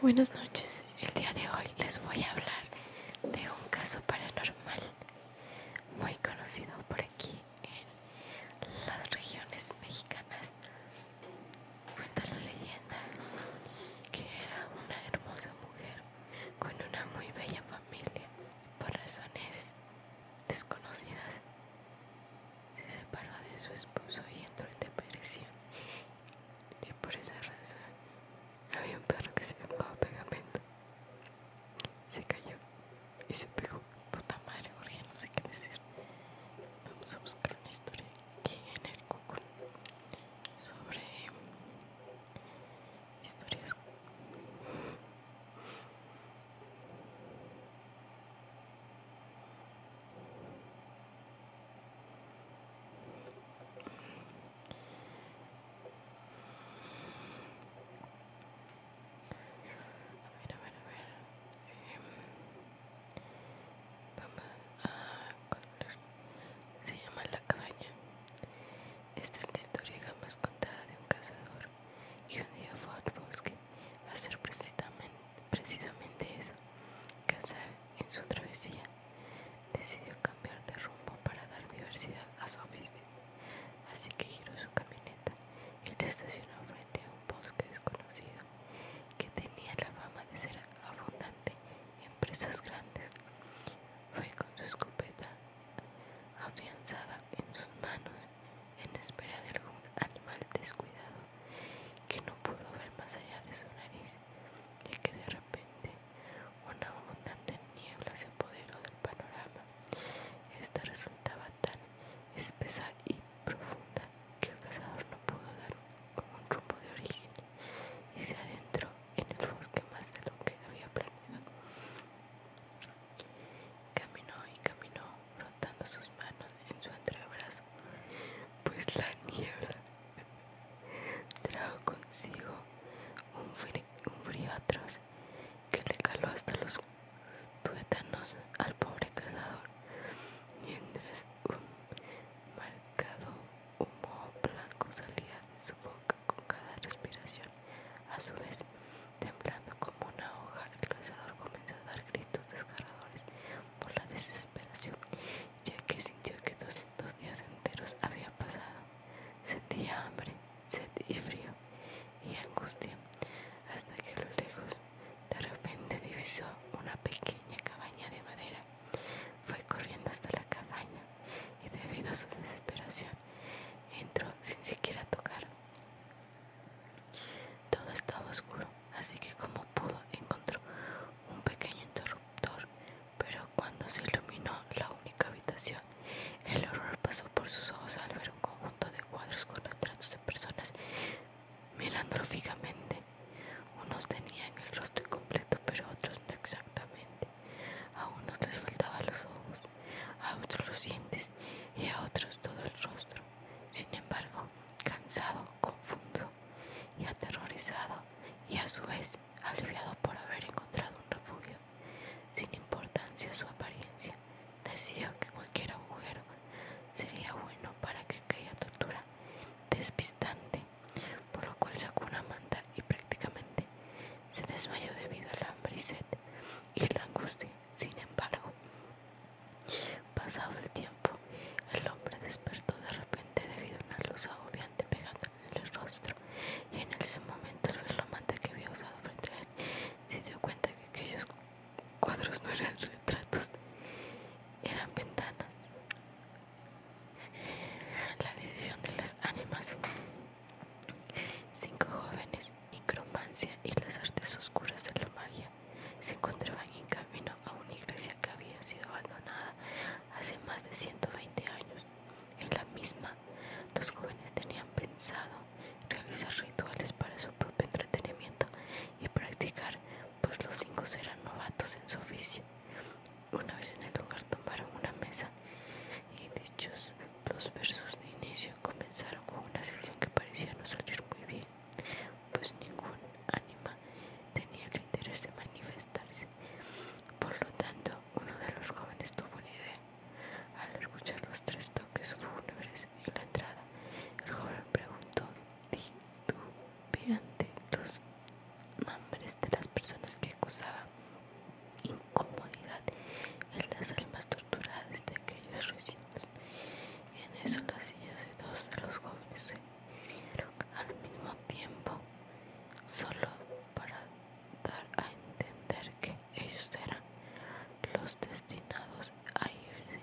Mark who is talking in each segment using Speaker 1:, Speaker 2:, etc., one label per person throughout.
Speaker 1: Buenas noches, el día de hoy les voy a hablar de un caso paranormal muy conocido por aquí en las regiones mexicanas. Cuenta la leyenda que era una hermosa mujer con una muy bella familia. Por razones desconocidas. Se separó de su esposo y entró en depresión. Y por esa razón había un perro que se llamaba Pegamento. Se cayó y se pegó. Puta madre, gorgia no sé qué decir. Vamos a buscar una historia aquí en el Google sobre historias a ver, a ver, a ver. vamos a. Se llama La Cabaña. Esta es la historia más contada de un cazador y un día fue al bosque a hacer precisamente, eso, cazar en su travesía. Decidió cambiar de rumbo para dar diversidad a su oficio, así que giró su camioneta y la estacionó frente a un bosque desconocido que tenía la fama de ser abundante en presas grandes. Fue con su escopeta afianzada en sus manos en espera de algún animal descuidado que no pudo ver más allá de su nariz, ya que de repente una abundante niebla se apoderó del panorama. Esta resultaba tan espesa y profunda que el cazador no pudo dar con un rumbo de origen y se adentró en el bosque más de lo que había planeado. Caminó y caminó, frotando sus manos en su entrebrazo, pues la niebla trajo consigo un frío, un frío atroz que le caló hasta los tuétanos al pobre cazador, mientras un marcado humo blanco salía de su boca con cada respiración. A su vez, Temblando como una hoja, el cazador comenzó a dar gritos desgarradores por la desesperación, ya que sintió que dos, días enteros había pasado. Sentía hambre, sed y frío, y angustia, hasta que a lo lejos de repente divisó una pequeña cabaña de madera. Fue corriendo hasta la cabaña y debido a su desesperación entró sin siquiera tocar. Todo estaba oscuro, así que como pudo encontró un pequeño interruptor, pero cuando se iluminó la única habitación, el horror pasó por sus ojos al ver un conjunto de cuadros con retratos de personas mirándolo fijamente. Unos tenían el rostro completo, pero otros no exactamente. A unos les faltaba los ojos a otros los dientes y a otros todo el rostro. Sin embargo, cansado, confuso y aterrorizado, y a su vez aliviado por haber encontrado un refugio, sin importancia su apariencia, decidió que cualquier agujero sería bueno para que aquella tortura despistante, por lo cual sacó una manta y prácticamente se desmayó debido al hambre y sed y la angustia. Sin embargo, pasado el tiempo, el hombre despertó de repente debido a una luz agobiante pegándole en el rostro, y en ese momento el relomante que había usado frente a él se dio cuenta que aquellos cuadros no eran retratos, eran ventanas. La decisión de las ánimas. Cinco jóvenes micromancia y las artes oscuras de la magia se encontraban en camino a una iglesia que había sido abandonada hace más de 120 años. En la misma, los jóvenes tenían pensado realizar rituales para su propio entretenimiento y practicar, pues los cinco eran novatos en su oficio. Una vez en el lugar tomaron una mesa y dichos los versos de inicio comenzaron con una sesión que parecía no salir muy bien, pues ningún ánima tenía el interés de manifestarse. Por lo tanto, uno de los jóvenes tuvo una idea. Al escuchar los tres toques fúnebres en la entrada, el joven preguntó titubeante los nombres de las personas que acusaban incomodidad en las almas torturadas de aquellos recién. En eso las sillas de dos de los jóvenes se al mismo tiempo, solo para dar a entender que ellos eran los destinados a irse.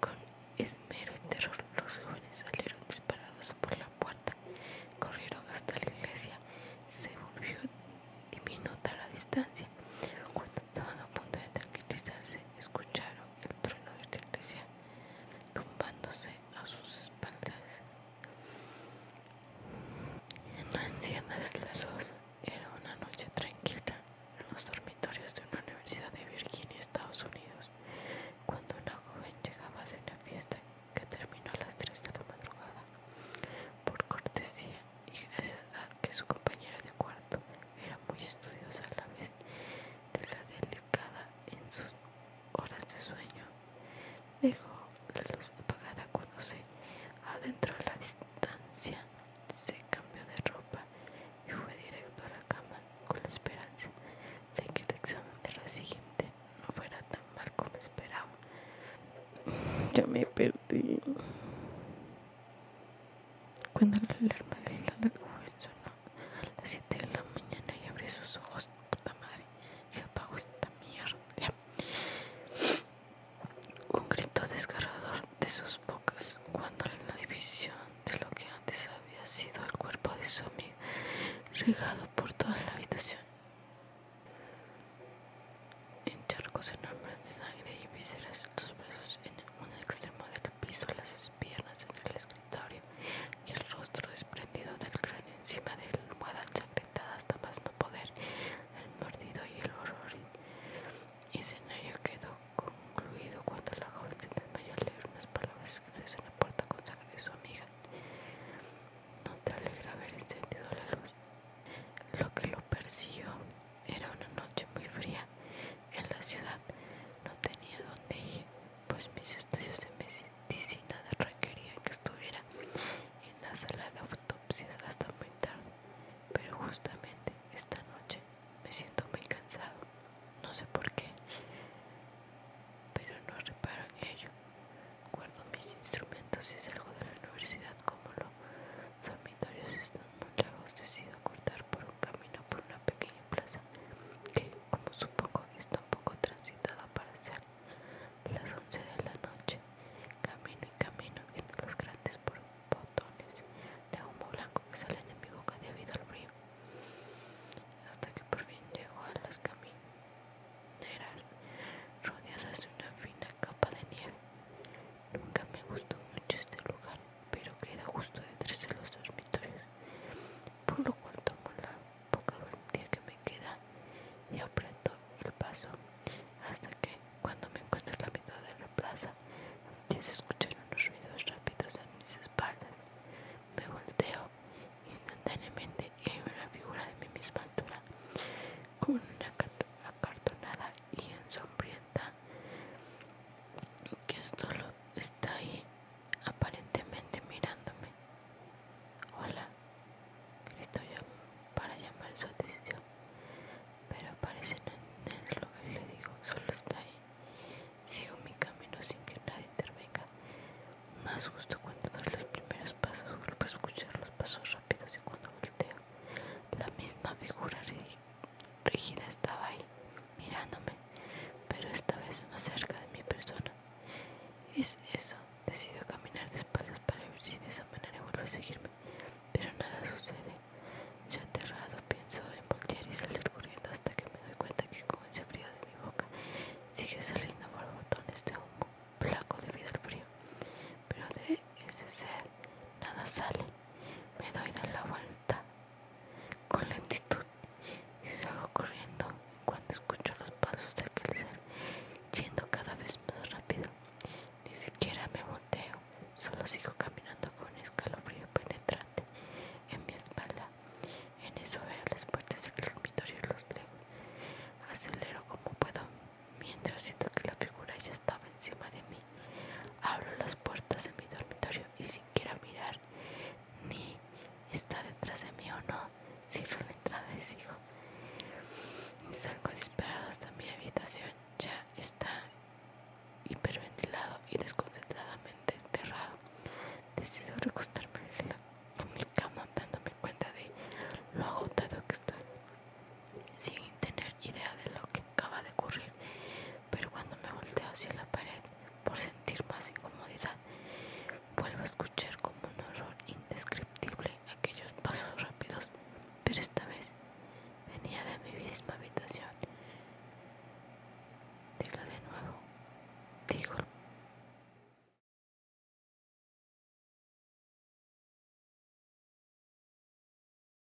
Speaker 1: Con esmero y terror los jóvenes salieron disparados por la puerta, corrieron hasta la iglesia, se volvió diminuta la distancia. Cuando estaban a punto de tranquilizarse, escucharon el trueno de la iglesia tumbándose a sus espaldas. En de la luz, era una noche tranquila en los dormitorios de una universidad de Virginia, Estados Unidos, cuando una joven llegaba de una fiesta que terminó a las 3 de la madrugada. Por cortesía, y gracias a que su compañera de cuarto era muy estudiosa a la vez de la delicada en sus horas de sueño, dejó la luz apagada cuando se adentró a la distancia, se cambió de ropa y fue directo a la cama con la esperanza de que el examen de la siguiente no fuera tan mal como esperaba. Ya me perdí. Cuando la alarma de la Langowen sonó a las 7 de la mañana y abrió sus ojos, puta madre, se apagó esta mierda. Un grito desgarrador de sus bocas cuando la división de lo que antes había sido el cuerpo de su amiga regado por toda la habitación en charcos enormes de sangre y vísceras, los brazos en un extremo del piso, las piernas en el escritorio y el rostro desprendido del cráneo encima de la almohada ensangrentada hasta más no poder. El mordido y el horror y escenario quedó concluido cuando la joven se desmayó al leer unas palabras escritas en la puerta con sangre de su amiga. No te alegra haber encendido la luz. Lo que lo persiguió era una noche muy fría en la ciudad. No tenía dónde ir, pues mis estudios de medicina requerían que estuviera en la sala de autopsias hasta muy tarde. Pero justamente esta noche me siento muy cansado. No sé por qué, pero no reparo en ello. Guardo mis instrumentos y salgo de la universidad como lo los dormitorios están muy largos, decido cortar por un camino por una pequeña plaza que, como supongo, está un poco transitada para ser las 11 de la noche. Camino y camino viendo los grandes botones de humo blanco que salen de mi boca debido al frío, hasta que por fin llego a las caminos rodeadas de una fina capa de nieve. Nunca me gustó mucho este lugar, pero queda justo detrás de los dormitorios, por lo cual tomo la poca valentía que me queda y aprendo el paso hasta que, cuando me encuentro en la mitad de la plaza, se escucharon escuchar unos ruidos rápidos en mis espaldas. Me volteo instantáneamente y hay una figura de mi misma altura, con una acartonada y ensombrienta que solo está ahí aparentemente mirándome. Hola, Cristo para llamar su atención, pero parece no entender lo que le digo, solo está ahí. Sigo mi camino sin que nadie intervenga. Más justo cuando doy los primeros pasos, vuelvo a escuchar los pasos rápidos y cuando volteo, la misma figura ridícula Rígida estaba ahí, mirándome, pero esta vez más cerca de mi persona. Es eso, decido caminar de para ver si de esa manera vuelve a seguirme, pero nada sucede. Ya aterrado pienso en voltear y salir corriendo hasta que me doy cuenta que con ese frío de mi boca sigue saliendo botones de humo, blanco debido al frío, pero de ese ser nada sale me doy de la vuelta con lentitud y salgo corriendo cuando escucho los pasos de aquel ser yendo cada vez más rápido. Ni siquiera me volteo, solo sigo caminando con escalofrío penetrante en mi espalda. En eso veo las puertas del dormitorio y los lejos. Acelero como puedo mientras siento que la figura ya estaba encima de mí. Abro las puertas de mi dormitorio y sin siquiera mirar ni está detrás de mí o no, cierro la entrada y sigo. salgo disparado hasta mi habitación. Ya está hiperventilado y desconcentradamente enterrado. Decido recostarme en mi cama dándome cuenta de lo agotado que estoy, sin tener idea de lo que acaba de ocurrir pero cuando me volteo hacia la pared por sentir más incomodidad, vuelvo a escuchar como un horror indescriptible aquellos pasos rápidos, pero esta vez venía de mi misma habitación. Dilo de nuevo, digo.